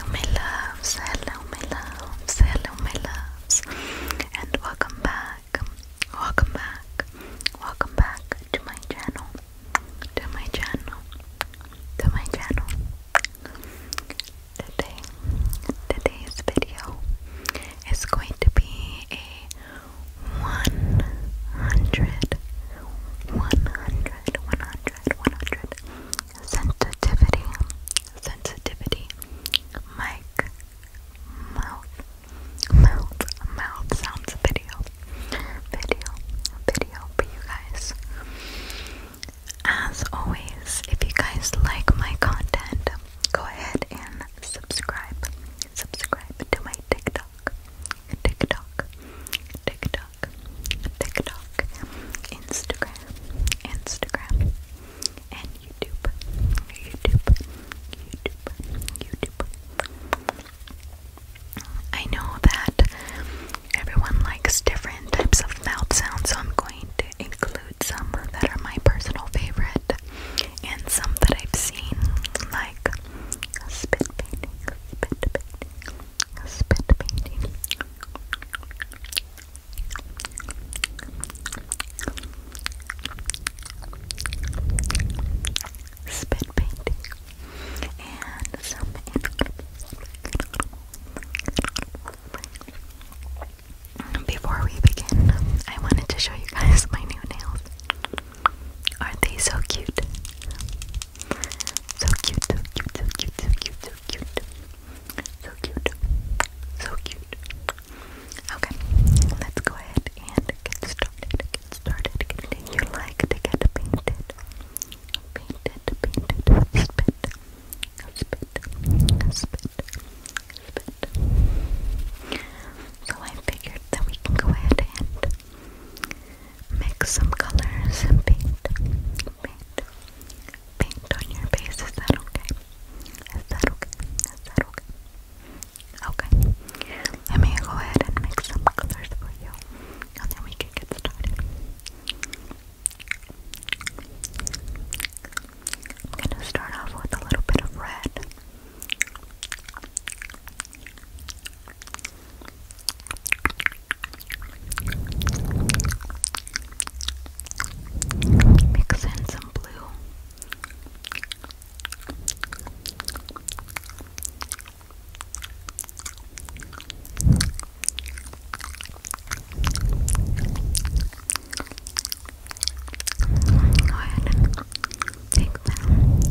Hello my loves, hello my loves, hello my loves, and welcome back, welcome back, welcome back to my channel, to my channel, to my channel. Today, today's video is going to be a 100, sensitivity, sensitivity, mic, mouth, mouth, mouth sounds video, video, video for you guys. As always, if you guys like my content, go ahead and subscribe, subscribe to my TikTok, TikTok, TikTok. TikTok, Instagram, Instagram, and YouTube, YouTube, YouTube, YouTube. I know that everyone likes different types of mouth sounds, so I'm going to include some that are my personal favorite and some that I've seen, like spit painting, spit painting, spit painting. Spit painting and some before we begin, I wanted to show you guys my new nails. Aren't they so cute? So cute, so cute, so cute, so cute, so cute. So cute. So cute. Okay, let's go ahead and get started. Get started. Did you like to get painted? Painted, painted with spit. Spit. Spit. Spit. So I figured that we can go ahead and mix some colors and paint, paint, paint on your face. Is that okay? Is that okay? Is that okay? Okay, let me go ahead and make some colors for you, and then we can get started. I'm gonna start off with a little bit of red. Mix in some blue. Go ahead take them.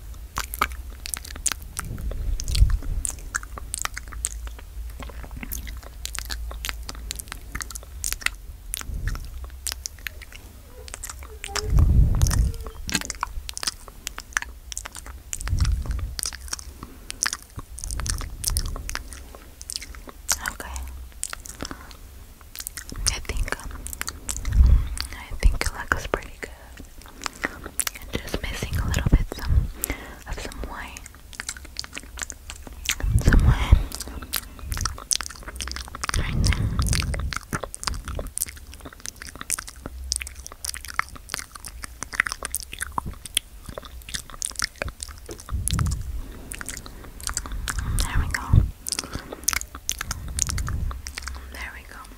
Okay. I think um, I think it looks pretty good. Just missing a little bit of some white. Some white. Right there. There we go. There we go.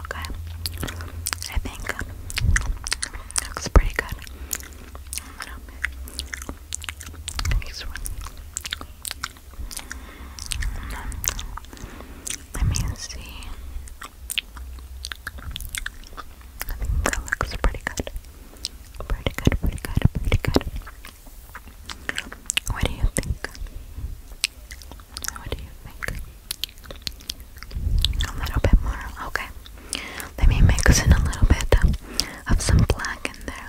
Okay. I think looks pretty good. Let me see. I think that looks pretty good. Pretty good, pretty good, pretty good. What do you think? What do you think? A little bit more, okay. Let me mix in a little bit uh, of some black in there.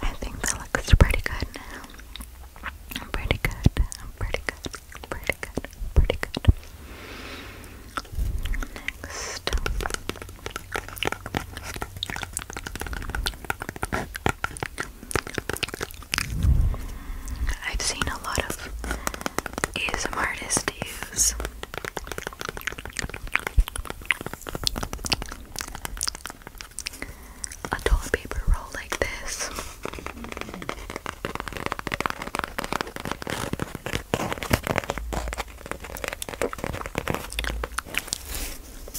I think that looks pretty good I'm pretty good. I'm pretty good. Pretty good. Pretty good. Next. I've seen a lot of artists use a toilet paper roll like this.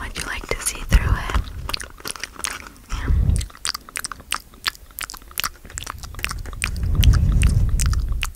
Would you like to see through it? Yeah.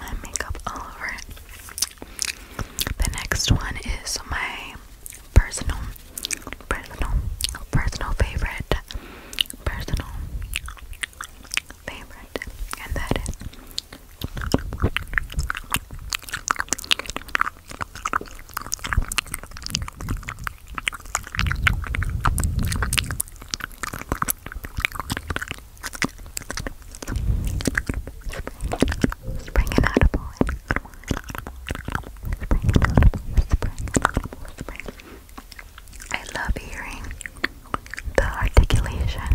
my makeup all over it. The next one is my personal, personal, personal favorite, personal favorite, and that is Spring inedible. Spring inedible. Spring inedible. Spring. I love hearing the articulation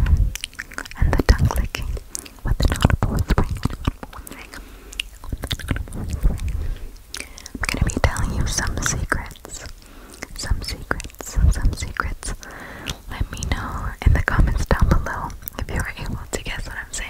and the tongue clicking with the inaudible spring. I'm gonna be telling you some secrets some secrets, some secrets. Let me know in the comments down below if you were able to guess what I'm saying.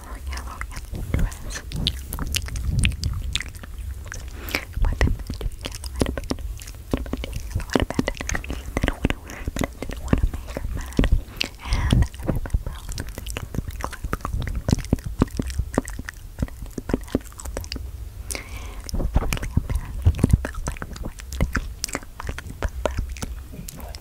yellow, yellow, dress. My parents do yellow headband. Yellow headband. They don't want to I didn't want to make mad. And I remember all the things in my class called me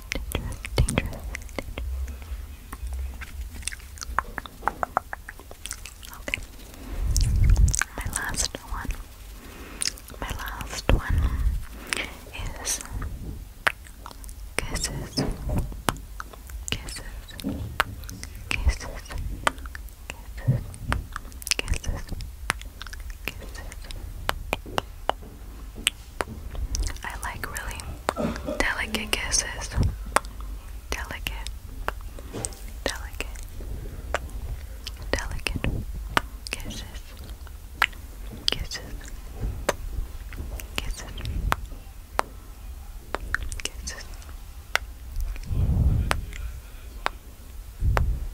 dangerous, dangerous, dangerous. Okay. My last one. My last one is kisses. Kisses. Kisses. Kisses. Kisses. I like really delicate kisses. Delicate, delicate, delicate kisses. Kisses, kisses, kisses.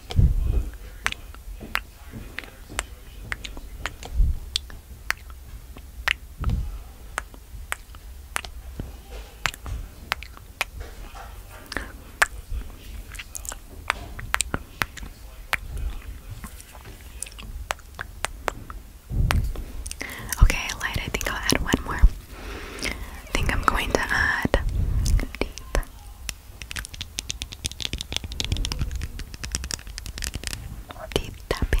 Okay, light. I think I'll add one more. I think I'm going to add deep. Deep tapping.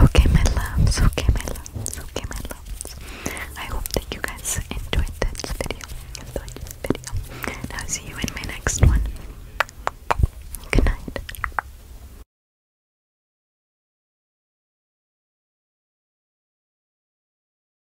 Okay, my loves. Okay, my loves. Okay, my loves. I hope that you guys enjoyed this video. Enjoyed this video. I'll see you in my next one. Good night.